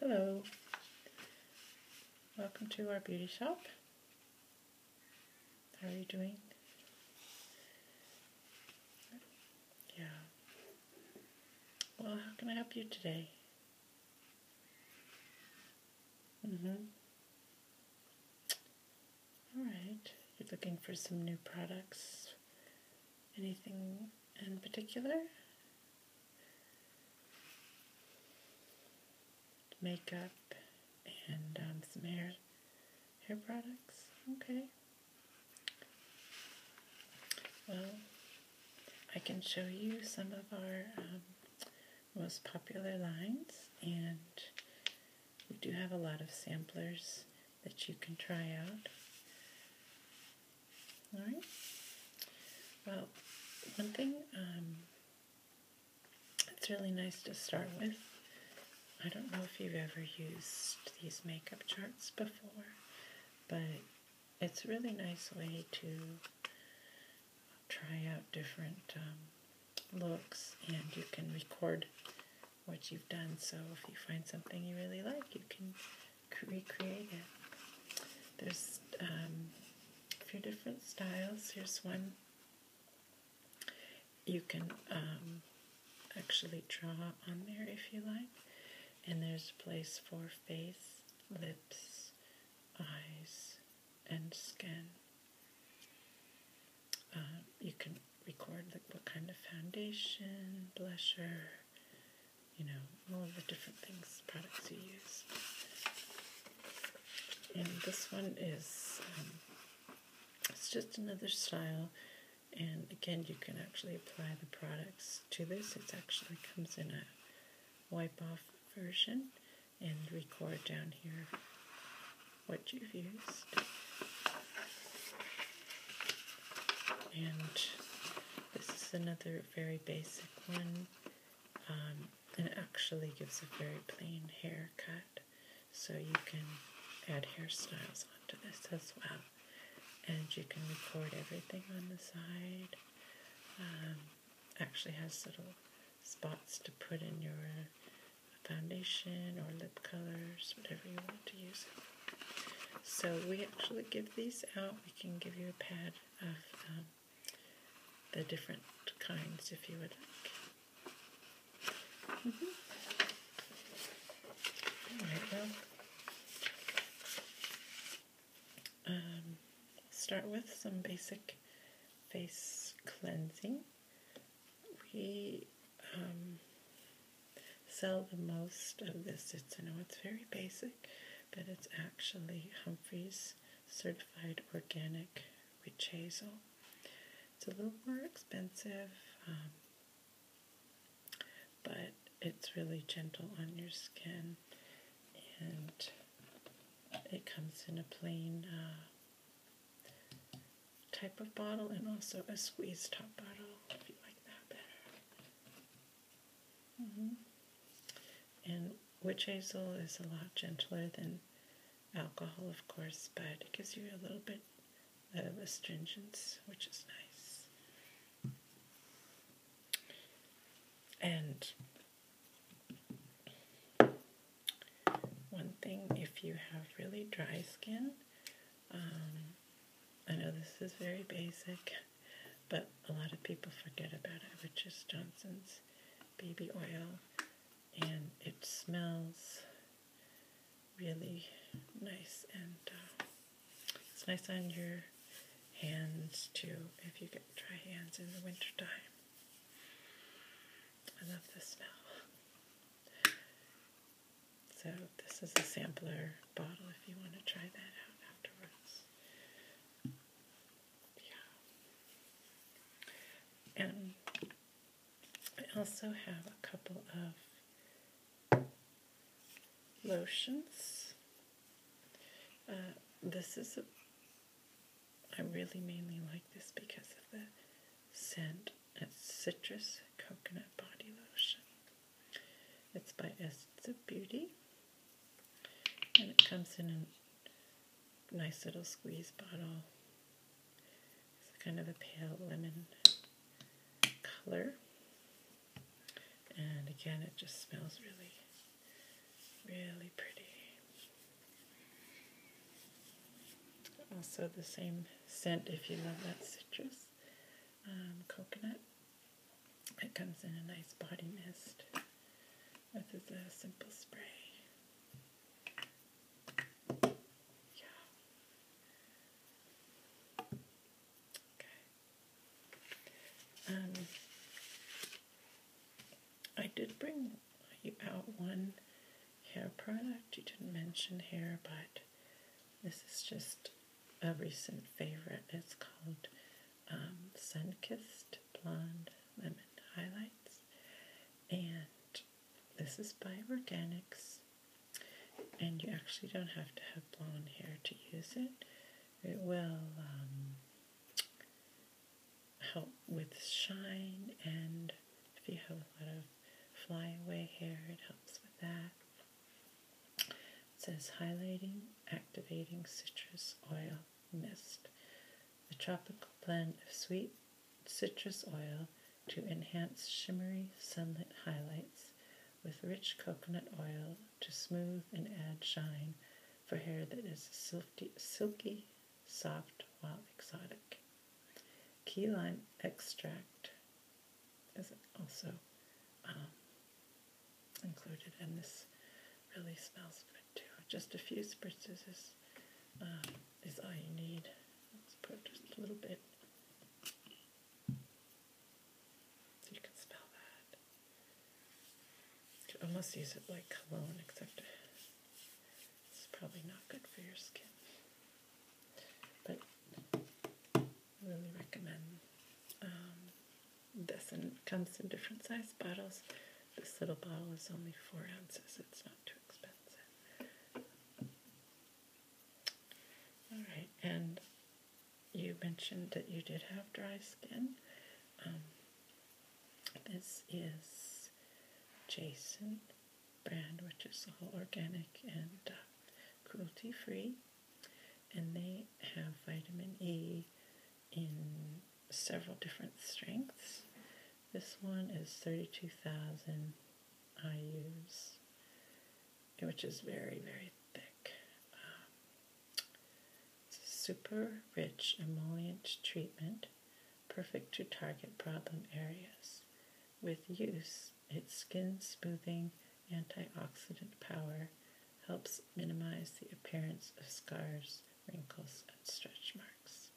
Hello, welcome to our beauty shop. How are you doing? Yeah. Well, how can I help you today? Mm-hmm. All right. You're looking for some new products. Anything in particular? makeup and um, some hair hair products. Okay. Well, I can show you some of our um, most popular lines, and we do have a lot of samplers that you can try out. All right. Well, one thing um, it's really nice to start with. I don't know if you've ever used these makeup charts before, but it's a really nice way to try out different um, looks and you can record what you've done. So if you find something you really like, you can recreate it. There's um, a few different styles. Here's one you can um, actually draw on there if you like. And there's a place for face, lips, eyes, and skin. Uh, you can record like what kind of foundation, blusher, you know, all the different things, products you use. And this one is, um, it's just another style. And again, you can actually apply the products to this. It actually comes in a wipe off version and record down here what you've used. And this is another very basic one um, and actually gives a very plain haircut so you can add hairstyles onto this as well and you can record everything on the side um, actually has little spots to put in your foundation or lip colors whatever you want to use so we actually give these out. We can give you a pad of um, the different kinds if you would like. Mm-hmm. um, start with some basic face cleansing. We um, sell the most of this. It's I know it's very basic, but it's actually Humphreys certified organic rich hazel. It's a little more expensive, um, but it's really gentle on your skin, and it comes in a plain uh, type of bottle and also a squeeze top bottle if you like that better. Mm-hmm. And witch hazel is a lot gentler than alcohol, of course, but it gives you a little bit of astringence, which is nice. And one thing, if you have really dry skin, um, I know this is very basic, but a lot of people forget about it, which is Johnson's baby oil, and it smells really nice, and uh, it's nice on your hands too if you get dry hands in the wintertime. I love the smell. So this is a sampler bottle if you want to try that out afterwards. Yeah. And I also have a couple of lotions. Uh, this is I really mainly like this because of the scent. It's citrus coconut body lotion. It's by Essence of Beauty. And it comes in a nice little squeeze bottle. It's kind of a pale lemon color. And again, it just smells really, really pretty. Also the same scent if you love that citrus, um, coconut it comes in a nice body mist. This is a simple spray. Okay. Um, I did bring you out one hair product. You didn't mention hair, but this is just a recent favorite. It's called um, Sunkissed Blonde Lemon Highlights, and this is by Organics. And you actually don't have to have blonde hair to use it. It will um, help with shine, and if you have a lot of flyaway hair, it helps with that. It says highlighting, activating citrus oil mist, a tropical blend of sweet citrus oil to enhance shimmery sunlit highlights with rich coconut oil to smooth and add shine for hair that is silky, silky soft while exotic. Key lime extract is also um, included, and this really smells good too. Just a few spritzes uh, is, all you need. Let's put just a little bit so you can smell that. almost use it like cologne, except it's probably not good for your skin. But really recommend um, this, and it comes in different size bottles. This little bottle is only four ounces, it's not too expensive. Alright, and you mentioned that you did have dry skin. Um, this is Jason brand, which is all organic and uh, cruelty free and they have vitamin E in several different strengths. This one is 32,000 IUs, which is very, very thick. Um, it's a super rich emollient treatment, perfect to target problem areas. With use, it's skin smoothing antioxidant power helps minimize the appearance of scars, wrinkles, and stretch marks.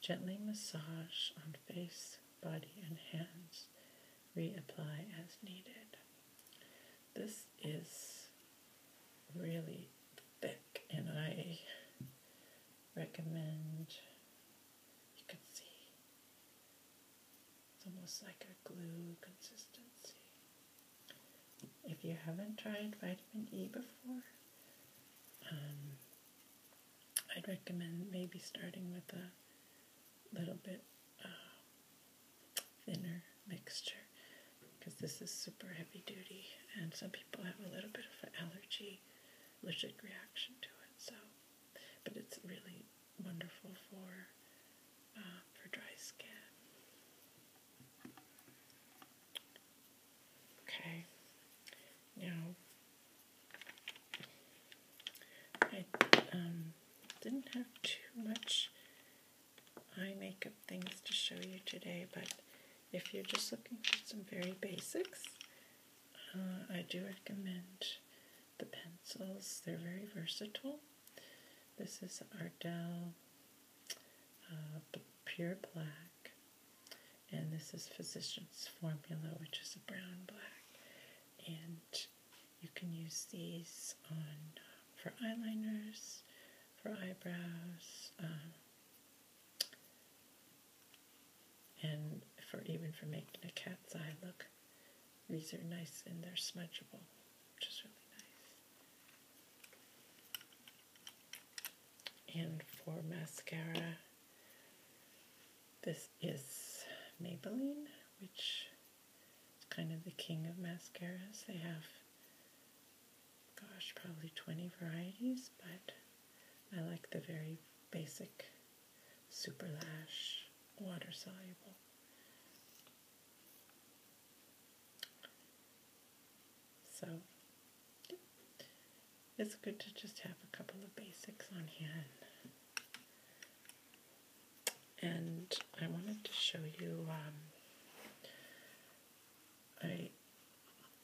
Gently massage on face, body, and hands. Reapply as needed. This is really thick, and I recommend you can see it's almost like a glue consistency. If you haven't tried vitamin E before, um, I'd recommend maybe starting with a little bit uh, thinner mixture because this is super heavy duty and some people have a little bit of an allergy, allergic reaction to it. So, but it's really wonderful for uh, for dry skin. Okay, now I um, didn't have too much eye makeup things to show you today, but if you're just looking for some very basics, uh, I do recommend the pencils. They're very versatile. This is Ardell uh, Pure Black, and this is Physician's Formula, which is a brown black. And you can use these on uh, for eyeliners, for eyebrows, um, and for even for making a cat's eye look. These are nice and they're smudgeable, which is really nice. And for mascara, this is Maybelline, which is kind of the king of mascaras. They have, gosh, probably 20 varieties, but I like the very basic Super Lash water soluble so it's good to just have a couple of basics on hand. And I wanted to show you, um, I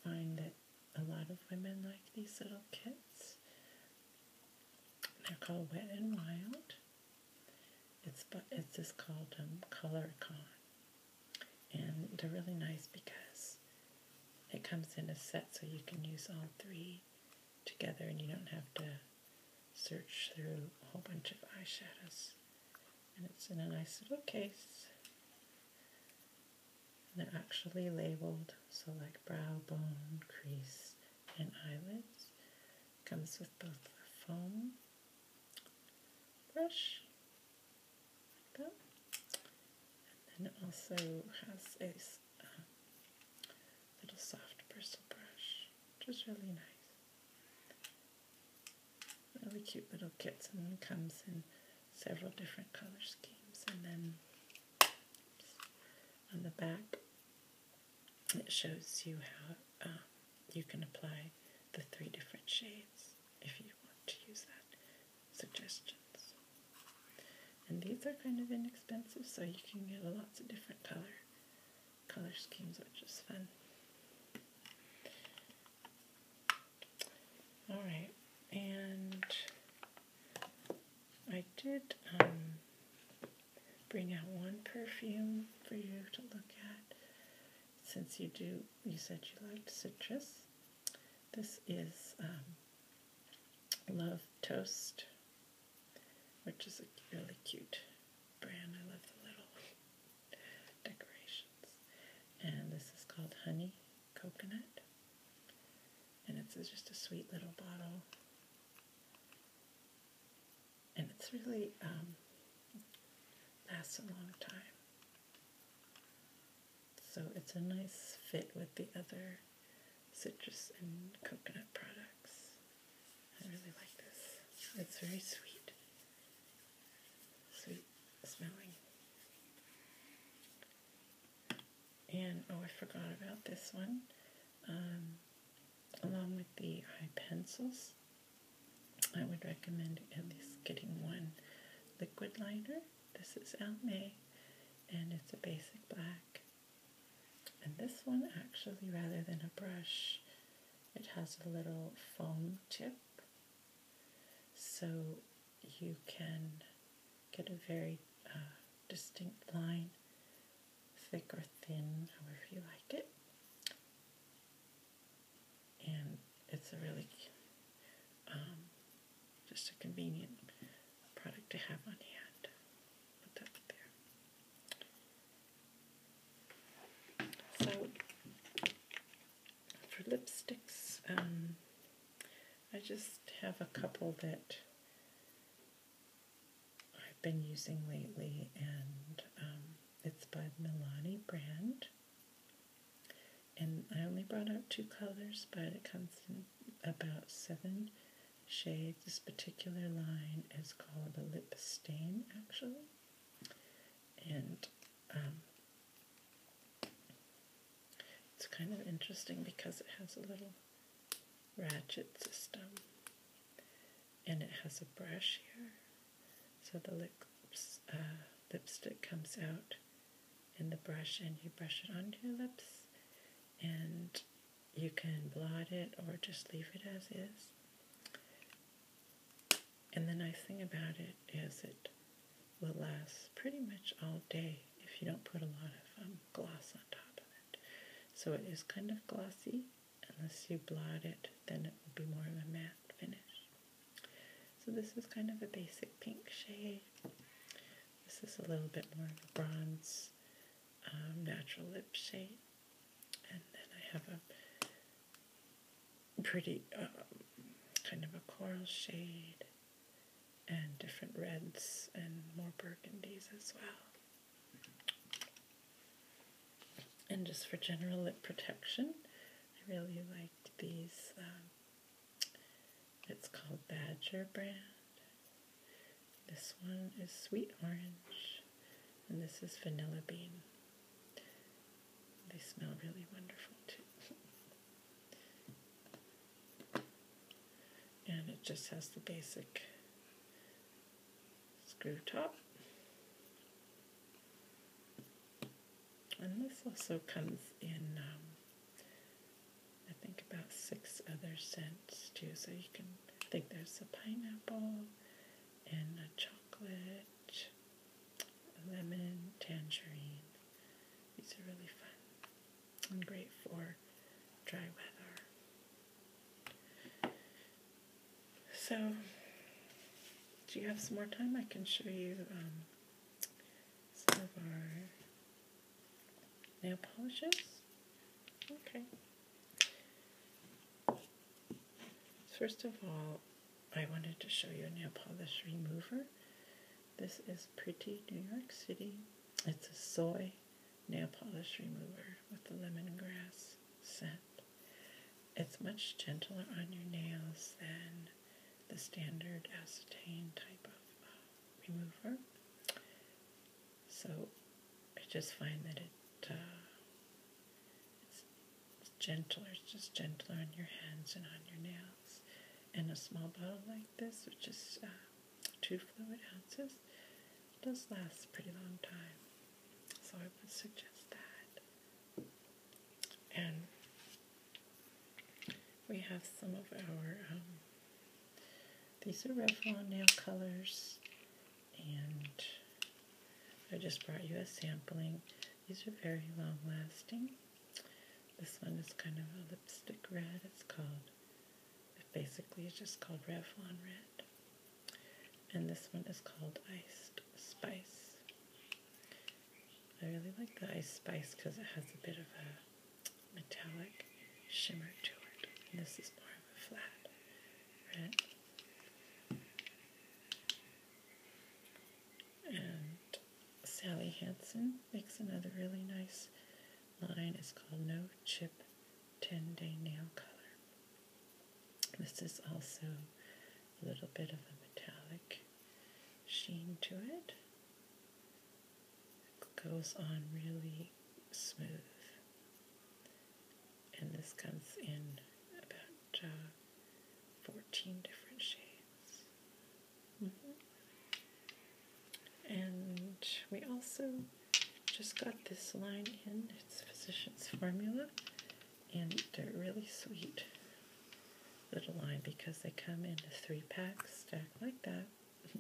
find that a lot of women like these little kits. They're called Wet and Wild. It's but it's just called um, ColorCon, and they're really nice because it comes in a set, so you can use all three together, and you don't have to search through a whole bunch of eyeshadows. And it's in a nice little case. And they're actually labeled, so like brow, bone, crease, and eyelids. Comes with both a foam brush, and then it also has a uh, little soft bristle brush, which is really nice. Really cute little kits, and then comes in several different color schemes, and then on the back it shows you how um, you can apply the three different shades if you want to use that suggestions. And these are kind of inexpensive, so you can get lots of different color color schemes, which is fun. All right, and I did. Um, bring out one perfume for you to look at. Since you do, you said you liked citrus. This is um, Love Toast, which is a really cute brand. I love the little decorations. And this is called Honey Coconut. And it's just a sweet little bottle and it's really um, lasts a long time. So it's a nice fit with the other citrus and coconut products. I really like this. It's very sweet, sweet smelling. And oh, I forgot about this one. Um, along with the eye pencils. I would recommend at least getting one liquid liner. This is Elle and it's a basic black. And this one, actually, rather than a brush, it has a little foam tip, so you can get a very uh, distinct line thick or thin, however you like it. And it's a really um, just a convenient product to have on hand. Put that there. So for lipsticks, um, I just have a couple that I've been using lately, and um, it's by the Milani brand. And I only brought out two colors, but it comes in about seven shades. This particular line is called the Lip Stain, actually. And um, it's kind of interesting because it has a little ratchet system and it has a brush here. So the lips, uh, lipstick comes out in the brush, and you brush it on your lips, and you can blot it or just leave it as is. And the nice thing about it is it will last pretty much all day if you don't put a lot of um, gloss on top of it. So it is kind of glossy unless you blot it, then it will be more of a matte finish. So this is kind of a basic pink shade. This is a little bit more of a bronze um, natural lip shade. And then I have a pretty uh, kind of a coral shade and different reds and more burgundies as well. And just for general lip protection, I really like these. Um, it's called Badger brand. This one is sweet orange, and this is vanilla bean. They smell really wonderful too. and it just has the basic screw top. And this also comes in, um, I think, about six other scents too. So you can think there's a pineapple and a chocolate, lemon, tangerine. These are really fun and great for dry weather. So, do you have some more time? I can show you um, some of our nail polishes. Okay. First of all, I wanted to show you a nail polish remover. This is Pretty New York City. It's a soy nail polish remover with the lemongrass scent. It's much gentler on your nails than the standard acetane type of uh, remover. So I just find that it uh, it's, gentler, it's just gentler on your hands and on your nails. And a small bottle like this, which is uh, two fluid ounces, does last a pretty long time. So I would suggest that. And we have some of our, um, these are Revlon nail colors, and I just brought you a sampling. These are very long lasting. This one is kind of a lipstick red. It's called, basically it's just called Revlon Red and this one is called Iced Spice. I really like the Iced Spice because it has a bit of a metallic shimmer to it, this is more of a flat red. And Sally Hansen makes another really nice line. It's called No Chip 10 day nail color. This is also a little bit of a metallic sheen to it. It goes on really smooth. And this comes in about uh, 14 different shades. Mm-hmm. And we also just got this line in. It's Physician's Formula, and they're really sweet little line because they come in a three pack stack like that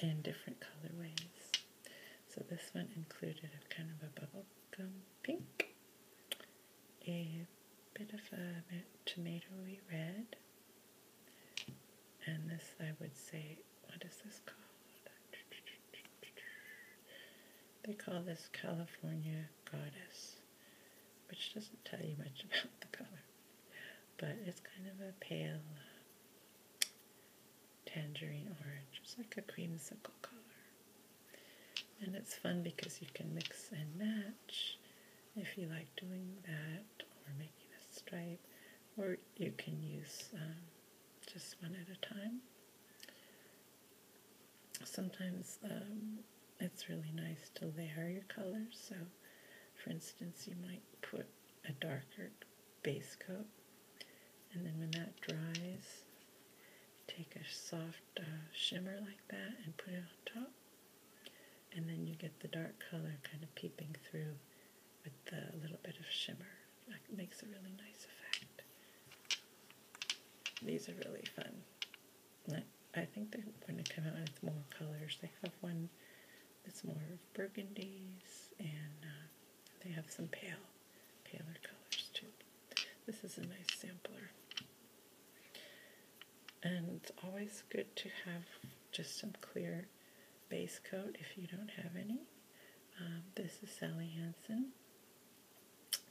and different colorways. So this one included a kind of a bubblegum pink, a bit of a tomatoey red, and this I would say what is this called? They call this California Goddess, which doesn't tell you much about the color, but it's kind of a pale tangerine orange. It's like a creamsicle color. And it's fun because you can mix and match if you like doing that or making a stripe, or you can use um, just one at a time. Sometimes um, it's really nice to layer your colors. So, for instance, you might put a darker base coat, and then when that dries, take a soft uh, shimmer like that and put it on top, and then you get the dark color kind of peeping through with a little bit of shimmer. That makes a really nice effect. These are really fun. I think they're going to come out with more colors. They have one that's more burgundies, and uh, they have some pale, paler colors too. This is a nice sampler. And it's always good to have just some clear base coat if you don't have any. Um, this is Sally Hansen.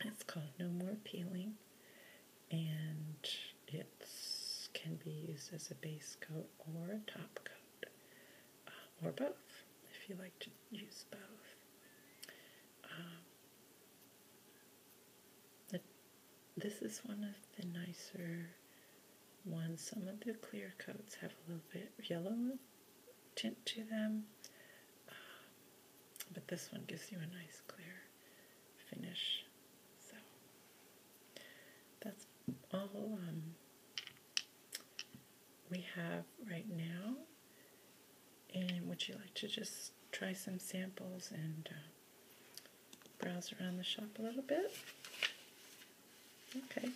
It's called No More Peeling, and it can be used as a base coat or a top coat, uh, or both if you like to use both. Um, this is one of the nicer ones. Some of the clear coats have a little bit yellow tint to them. Ah, but this one gives you a nice clear finish. So that's all um, we have right now. And would you like to just try some samples and uh, browse around the shop a little bit? Okay.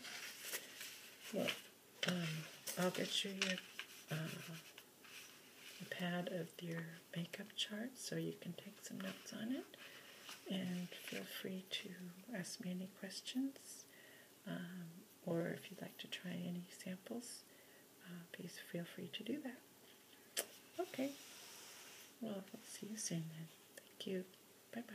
Well, um, I'll get you your uh, pad of your makeup chart so you can take some notes on it. And feel free to ask me any questions, um, or if you'd like to try any samples, uh, please feel free to do that. Okay. Well, see you soon then. Thank you. Bye bye.